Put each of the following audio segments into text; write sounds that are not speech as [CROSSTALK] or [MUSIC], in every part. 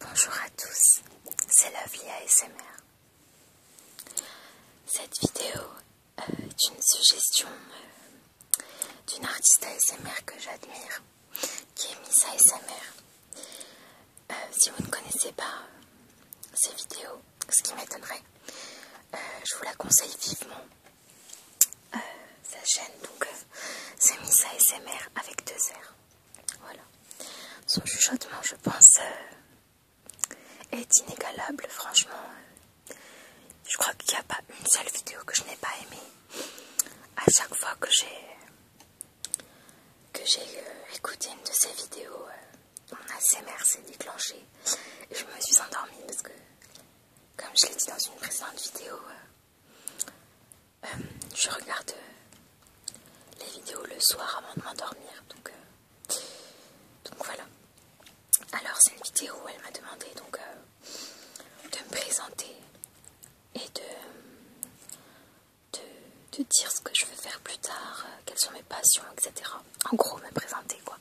Bonjour à tous, c'est Lovely ASMR. Cette vidéo euh, est une suggestion euh, d'une artiste ASMR que j'admire, qui est Miss ASMR. Euh, si vous ne connaissez pas ses vidéos, ce qui m'étonnerait, je vous la conseille vivement. sa chaîne, donc c'est Miss ASMR avec deux R. Voilà. Son chuchotement, je pense, euh, est inégalable, franchement. je crois qu'il n'y a pas une seule vidéo que je n'ai pas aimée. À chaque fois que j'ai euh, écouté une de ses vidéos, on euh, mon ASMR s'est déclenché et je me suis endormie parce que, comme je l'ai dit dans une précédente vidéo, je regarde euh, les vidéos le soir avant de m'endormir. Euh, donc, voilà. Alors c'est une vidéo où elle m'a demandé donc euh, de me présenter et de, de, dire ce que je veux faire plus tard, quelles sont mes passions, etc. En gros me présenter quoi.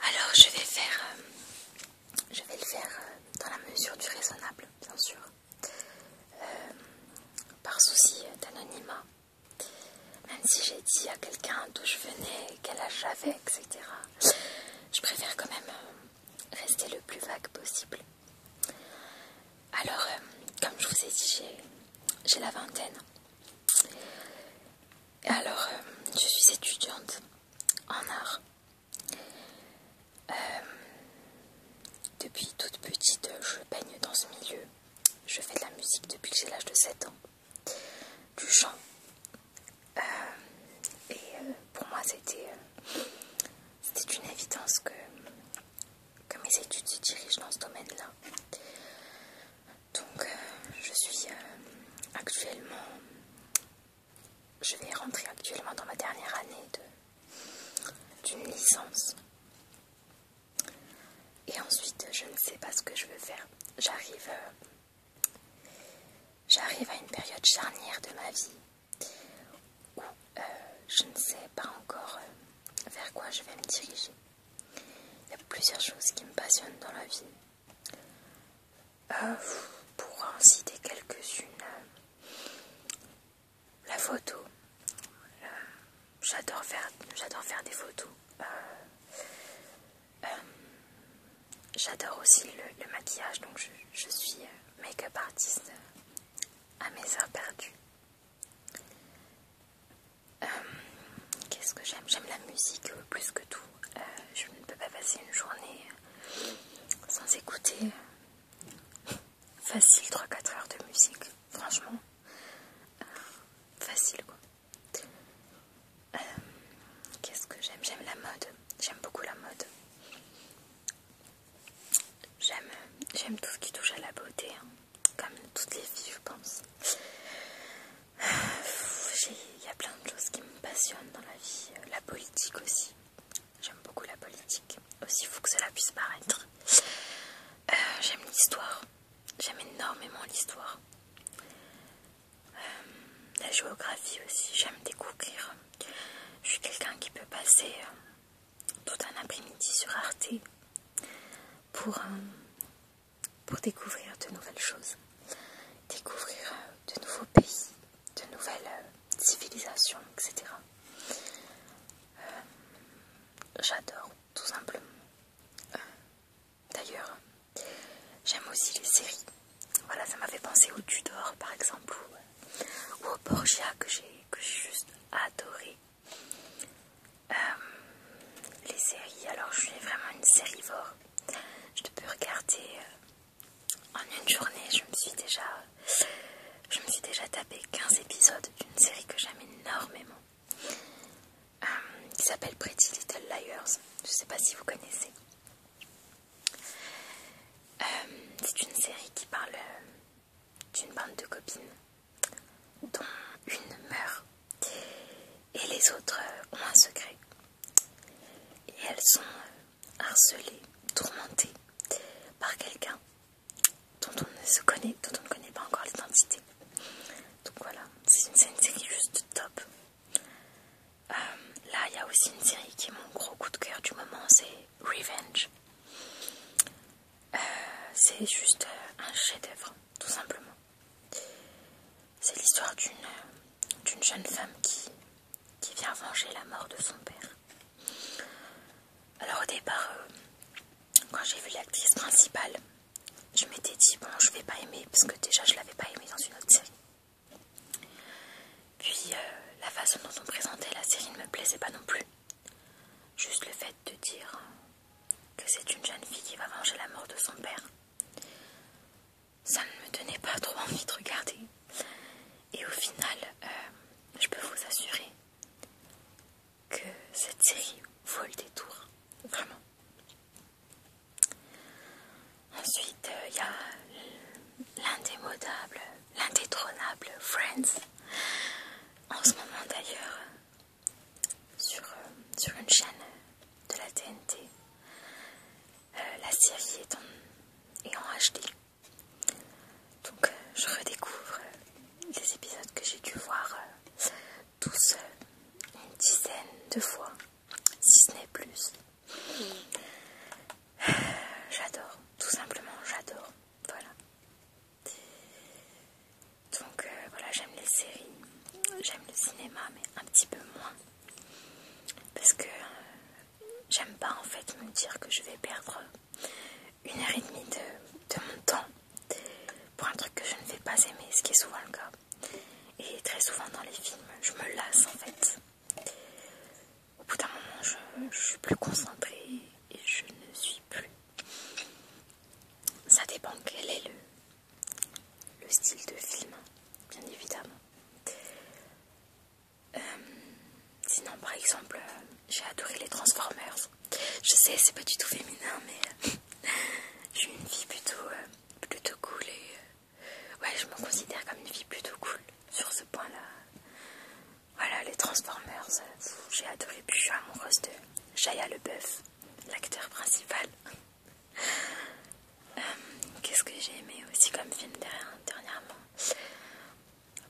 Alors je vais faire, je vais le faire dans la mesure du raisonnable bien sûr. Euh, par souci d'anonymat. Même si j'ai dit à quelqu'un d'où je venais, quel âge j'avais, etc. Je préfère quand même euh, rester le plus vague possible. Alors, euh, comme je vous ai dit, j'ai la vingtaine. Alors, je suis étudiante en art euh, depuis toute petite, je baigne dans ce milieu. Je fais de la musique depuis que j'ai l'âge de 7 ans. Du chant. Euh, et euh, pour moi, c'était une évidence que, mes études se dirigent dans ce domaine-là. Donc, je suis actuellement je vais rentrer actuellement dans ma dernière année d'une licence. Et ensuite, je ne sais pas ce que je veux faire. J'arrive euh, j'arrive à une période charnière de ma vie où euh, je ne sais pas encore euh, vers quoi je vais me diriger. Il y a plusieurs choses qui me passionnent dans la vie. pour en citer quelques-unes, la photo. Euh, j'adore faire, des photos. Euh, euh, j'adore aussi le, maquillage, donc je, suis make-up artiste à mes heures perdues. Qu'est-ce que j'aime J'aime la musique plus que tout. je ne peux pas passer une journée sans écouter facile 3-4 heures de musique, franchement. Euh, facile quoi. Euh, qu'est-ce que j'aime J'aime la mode. J'aime beaucoup la mode. J'aime tout ce qui touche à la beauté, hein. comme toutes les filles, je pense. Euh, il y a plein de choses qui me passionnent dans la vie, la politique aussi, J'aime beaucoup la politique, aussi fou que cela puisse paraître. Euh, j'aime l'histoire, j'aime énormément l'histoire. Euh, la géographie aussi, j'aime découvrir. Je suis quelqu'un qui peut passer euh, tout un après-midi sur Arte pour, découvrir de nouvelles choses, découvrir de nouveaux pays, de nouvelles euh, civilisations, etc. Euh, j'adore tout simplement. Euh, d'ailleurs, j'aime aussi les séries. Voilà, ça m'a fait penser au Tudor par exemple ou, au Borgia que j'ai juste adoré. les séries, alors je suis vraiment une sérivore. Je peux regarder en une journée, je me suis déjà, je me suis déjà tapé 15 épisodes d'une série que j'aime énormément, euh, qui s'appelle Pretty Little Liars. Je ne sais pas si vous connaissez. Euh, c'est une série qui parle euh, d'une bande de copines dont une meurt et les autres ont un secret. Et elles sont harcelées, tourmentées par quelqu'un dont on ne se connaît, on ne connaît pas encore l'identité. Donc voilà, c'est une, série juste top. Euh, là, il y a aussi une série qui est mon gros coup de cœur du moment, c'est Revenge. Euh, c'est juste euh, un chef-d'œuvre, tout simplement. C'est l'histoire d'une jeune femme qui, qui vient venger la mort de son père. Alors au départ, euh, quand j'ai vu l'actrice principale, je m'étais dit bon je vais pas aimer parce que déjà je l'avais pas aimée dans une autre série. Puis euh, la façon dont on présentait la série ne me plaisait pas non plus. Juste le fait de dire que c'est une jeune fille qui va venger la mort de son père. Ça ne me donnait pas trop envie de regarder. Et au final, euh, je peux vous assurer que cette série vaut le détour, vraiment. Ensuite, euh, il y a l'indémodable, l'indétrônable Friends. En ce moment d'ailleurs, sur, euh, une chaîne de la TNT, la série est est en HD. Donc je redécouvre les épisodes que j'ai dû voir euh, tous une dizaine de fois, si ce n'est plus. Euh, j'adore, tout simplement j'adore. Voilà. Donc euh, voilà, j'aime les séries, j'aime le cinéma, mais un petit peu moins. Parce que j'aime pas en fait me dire que je vais perdre une heure et demie de, mon temps pour un truc que je ne vais pas aimer, ce qui est souvent le cas. Et très souvent dans les films, je me lasse en fait. Au bout d'un moment, je, suis plus concentrée et je ne suis plus. Ça dépend quel est le, le style de film, bien évidemment. Euh, sinon, par exemple, euh, j'ai adoré les Transformers. Je sais, c'est pas du tout féminin, mais je euh, suis [LAUGHS] une vie plutôt, plutôt cool et ouais, je me considère comme une fille plutôt cool sur ce point-là. Voilà, les Transformers, j'ai adoré, puis je suis amoureuse de Shia Leboeuf, l'acteur principal. [LAUGHS] Qu'est-ce que j'ai aimé aussi comme film dernièrement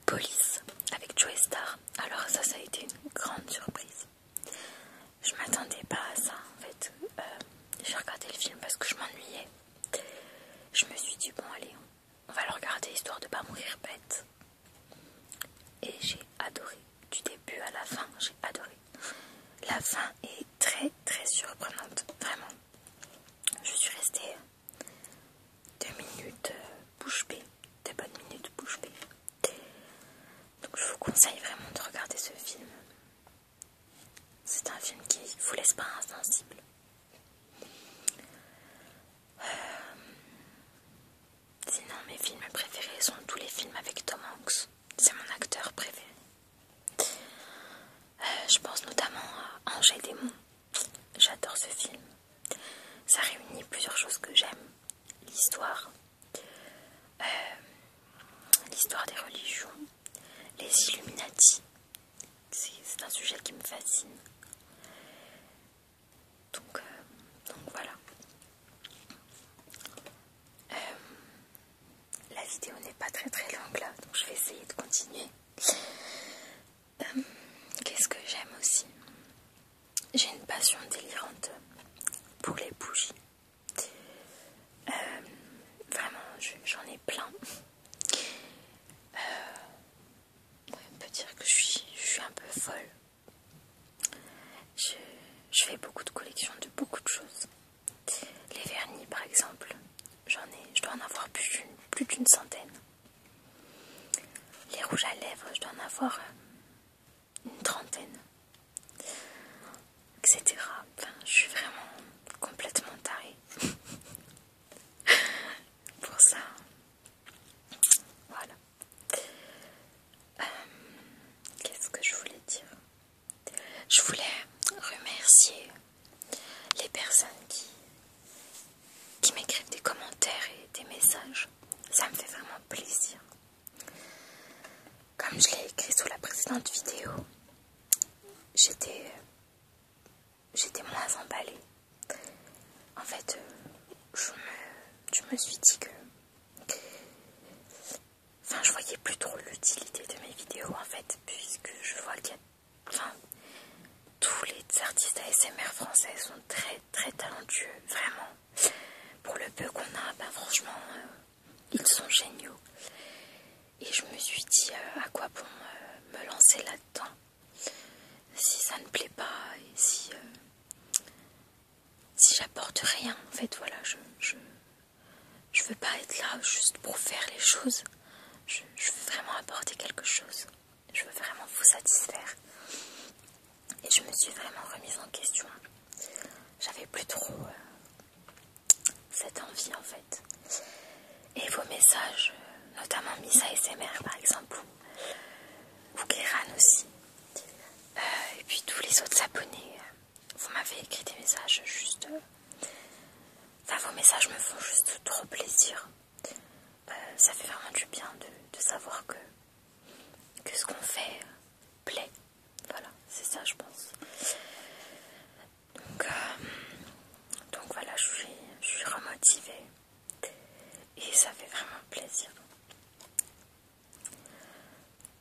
Police avec Joe Star. Alors ça, ça a été une grande surprise. Je m'attendais pas à ça en fait. Euh, j'ai regardé le film parce que je m'ennuyais. Je me suis dit bon allez, on va le regarder histoire de pas mourir bête. Et j'ai adoré, du début à la fin, j'ai adoré. La fin est très très surprenante, vraiment. Je suis restée deux minutes euh, bouche B. des bonnes minutes bouche B. Donc je vous conseille vraiment de regarder ce film. C'est un film qui vous laisse pas insensible. Euh, sinon, mes films préférés sont tous les films avec Tom Hanks. C'est mon acteur préféré. Euh, je pense notamment à Angers Démons J'adore ce film. Ça réunit plusieurs choses que j'aime. L'histoire, euh, l'histoire des religions, les Illuminati. C'est un sujet qui me fascine. Donc, euh, donc voilà. Euh, la vidéo n'est pas très très longue là, donc je vais essayer de continuer. Euh, qu'est-ce que j'aime aussi J'ai une passion délirante pour les bougies. Euh, vraiment, j'en ai plein. Euh, on peut dire que je suis, un peu folle. Je, fais beaucoup de collections de beaucoup de choses. Les vernis, par exemple, j'en je dois en avoir plus d'une centaine. Les rouges à lèvres, je dois en avoir euh, une trentaine, etc. Enfin, je suis vraiment complètement tarée [LAUGHS] pour ça. Voilà. Euh, qu'est-ce que je voulais dire Je voulais remercier les personnes qui, qui m'écrivent des commentaires et des messages. Ça me fait vraiment plaisir. Comme je l'ai écrit sous la précédente vidéo, j'étais j'étais moins emballée. En fait, euh, je me, je me suis dit que... Enfin, je voyais plus trop l'utilité de mes vidéos, en fait, puisque je vois qu'il y a... Enfin, tous les artistes ASMR français sont très très talentueux, vraiment. Pour le peu qu'on a, ben franchement, euh, ils sont géniaux. Et je me suis dit euh, à quoi bon euh, me lancer là-dedans si ça ne plaît pas et si, si j'apporte rien. En fait, voilà, je, veux pas être là juste pour faire les choses. je veux vraiment apporter quelque chose je veux vraiment vous satisfaire. Et je me suis vraiment remise en question. J'avais plus trop euh, cette envie en fait. Et vos messages, euh, notamment Misa SMR par exemple, ou, aussi, euh, et puis tous les autres abonnés, vous m'avez écrit des messages juste. Enfin, vos messages me font juste trop plaisir. Euh, ça fait vraiment du bien de, savoir que, que ce qu'on fait plaît. Voilà, c'est ça je pense. Donc, euh, donc voilà, je suis, je suis remotivée et ça fait vraiment plaisir.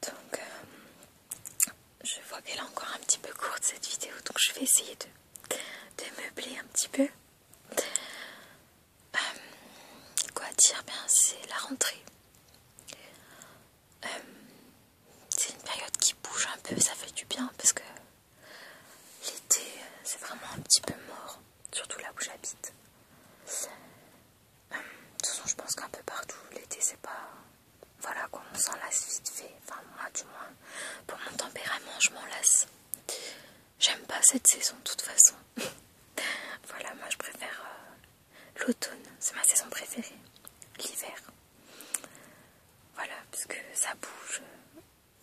Donc, euh, je vois qu'elle est encore un petit peu courte cette vidéo, donc je vais essayer de, de meubler un petit peu. Euh, quoi dire ben, C'est la rentrée. Euh, c'est une période qui bouge un peu, ça fait du bien parce que l'été c'est vraiment un petit peu mort, surtout là où j'habite. Euh, de toute façon, je pense qu'un peu partout l'été c'est pas. Voilà qu'on on s'en lasse vite fait. Enfin, moi du moins, pour mon tempérament, je m'en lasse. J'aime pas cette saison de toute façon. [LAUGHS] voilà, moi je préfère euh, l'automne, c'est ma saison préférée. L'hiver. Voilà, parce que ça bouge.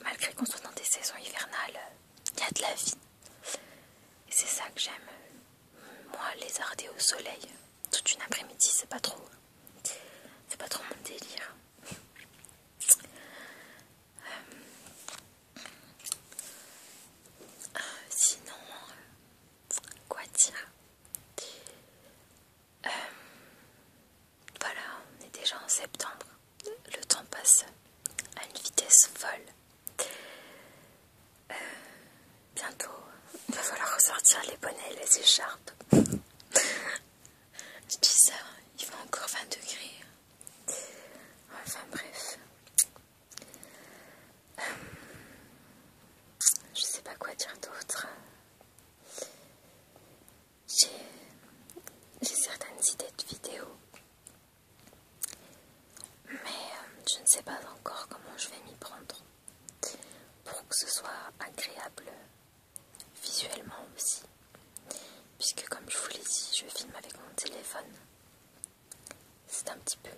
Malgré qu'on soit dans des saisons hivernales, il y a de la vie. Et c'est ça que j'aime. Euh, moi, les arder au soleil, toute une après-midi, c'est pas trop. C'est pas trop mon délire sinon, euh, quoi dire euh, Voilà, on est déjà en septembre. Le temps passe à une vitesse folle. Euh, bientôt, il va falloir ressortir les bonnets et les écharpes. [LAUGHS] Je dis ça, il fait encore 20 degrés. Enfin bref. je sais pas quoi dire d'autre. J'ai certaines idées de vidéos. Mais euh, je ne sais pas encore comment je vais m'y prendre. Pour que ce soit agréable visuellement aussi puisque comme je vous l'ai dit, je filme avec mon téléphone. C'est un petit peu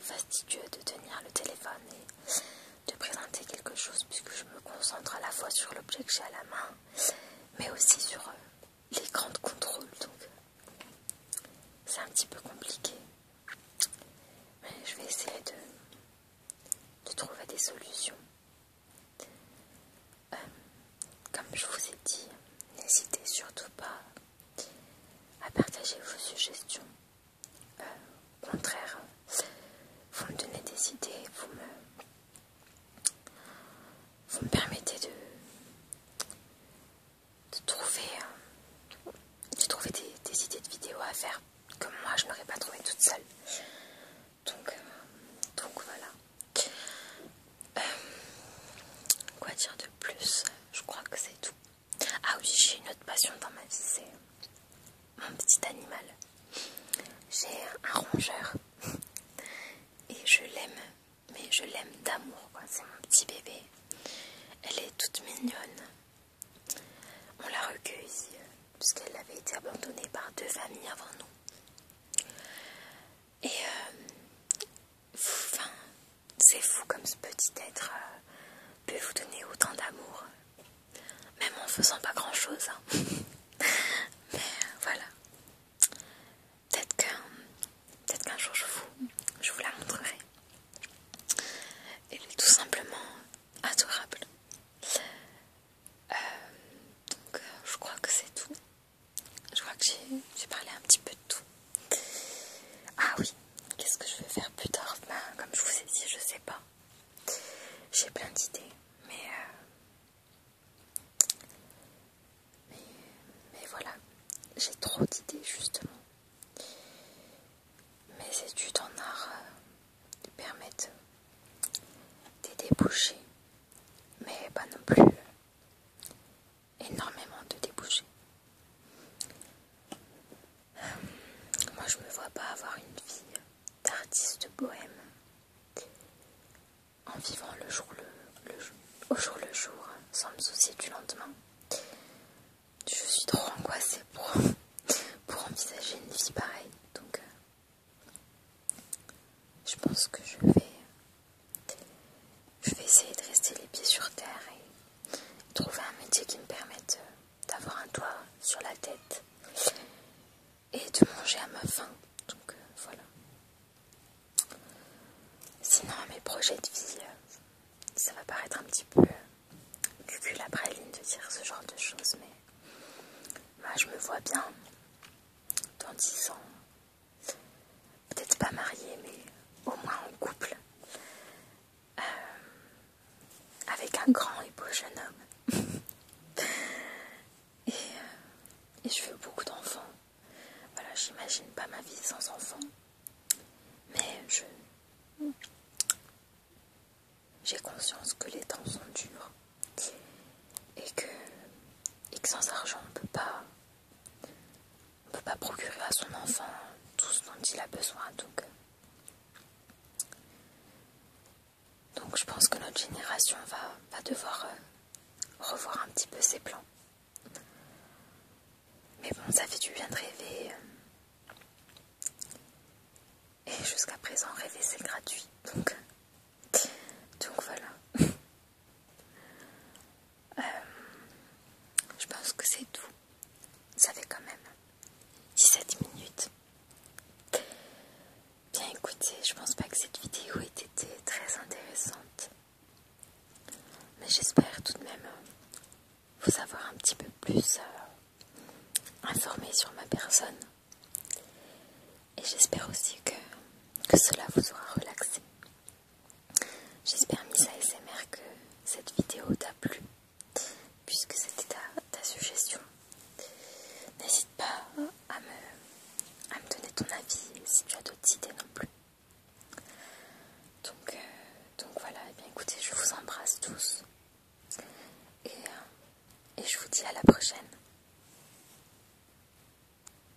fastidieux de tenir le téléphone et de présenter quelque chose puisque je me concentre à la fois sur l'objet que j'ai à la main mais aussi sur euh, les grandes contrôles donc c'est un petit peu compliqué mais je vais essayer de trouver des solutions euh, comme je vous ai dit, n'hésitez surtout pas à partager vos suggestions. Euh, au contraire, vous me donnez des idées, vous me, vous me permettez de, de trouver, euh, de trouver des, idées de vidéos à faire que moi je n'aurais pas trouvé toute seule. Donc, donc voilà. Euh, quoi dire de plus Je crois que c'est tout. Ah oui, j'ai une autre passion dans ma vie, c'est mon petit animal. J'ai un rongeur et je l'aime, mais je l'aime d'amour, c'est mon petit bébé. Elle est toute mignonne. On l'a parce euh, puisqu'elle avait été abandonnée par deux familles avant nous. Et euh, enfin, c'est fou comme ce petit être euh, peut vous donner autant d'amour, même en faisant pas grand chose. Hein. [LAUGHS] Mais euh, voilà. Peut-être qu'un peut jour je vous, je vous la montrerai. Elle est tout simplement adorable. donc je crois que c'est tout. Je crois que j'ai parlé un petit peu de tout. Ah oui, qu'est-ce que je vais faire plus tard ben, Comme je vous ai dit, je sais pas. J'ai plein d'idées, mais, euh, mais... voilà, j'ai trop d'idées justement. Mes études en art euh, permettent des déboucher. mais pas non plus euh, énormément de débouchés. Euh, moi, je me vois pas avoir une vie d'artiste bohème en vivant le jour le, au jour le jour sans me soucier du lendemain. Je suis trop angoissée pour, envisager une vie pareille. Donc, euh, je pense que je vais je vais essayer de rester les pieds sur terre et trouver un métier qui me permette euh, d'avoir un toit sur la tête et de manger à ma faim. Donc euh, voilà. Sinon, mes projets de vie, euh, ça va paraître un petit peu après ligne de dire ce genre de choses, mais bah, je me vois bien dans 10 ans peut-être pas mariée, mais au moins en couple, euh, avec un grand et beau jeune homme. [LAUGHS] Euh, et, je veux beaucoup d'enfants. Voilà, j'imagine pas ma vie sans enfants. Mais je... J'ai conscience que les temps sont durs et que, et que sans argent on peut pas on ne peut pas procurer à son enfant tout ce dont il a besoin. Donc, euh. donc je pense que notre génération va, devoir euh, revoir un petit peu ses plans. Mais bon, ça fait du bien de rêver. Euh. Et jusqu'à présent, rêver c'est gratuit. Donc, donc voilà. [LAUGHS] Euh, je pense que c'est tout. Ça fait quand même 17 minutes. Bien écoutez, je pense pas que cette vidéo ait été très intéressante. Mais j'espère tout de même euh, vous avoir un petit peu plus euh, informé sur ma personne. Et j'espère aussi que, que cela vous aura relaxé. J'espère, Miss ASMR, que cette vidéo t'a plu, puisque c'était ta, suggestion. N'hésite pas à me, donner ton avis si tu as d'autres idées non plus. Donc, euh, voilà, eh écoutez, je vous embrasse tous euh, et je vous dis à la prochaine.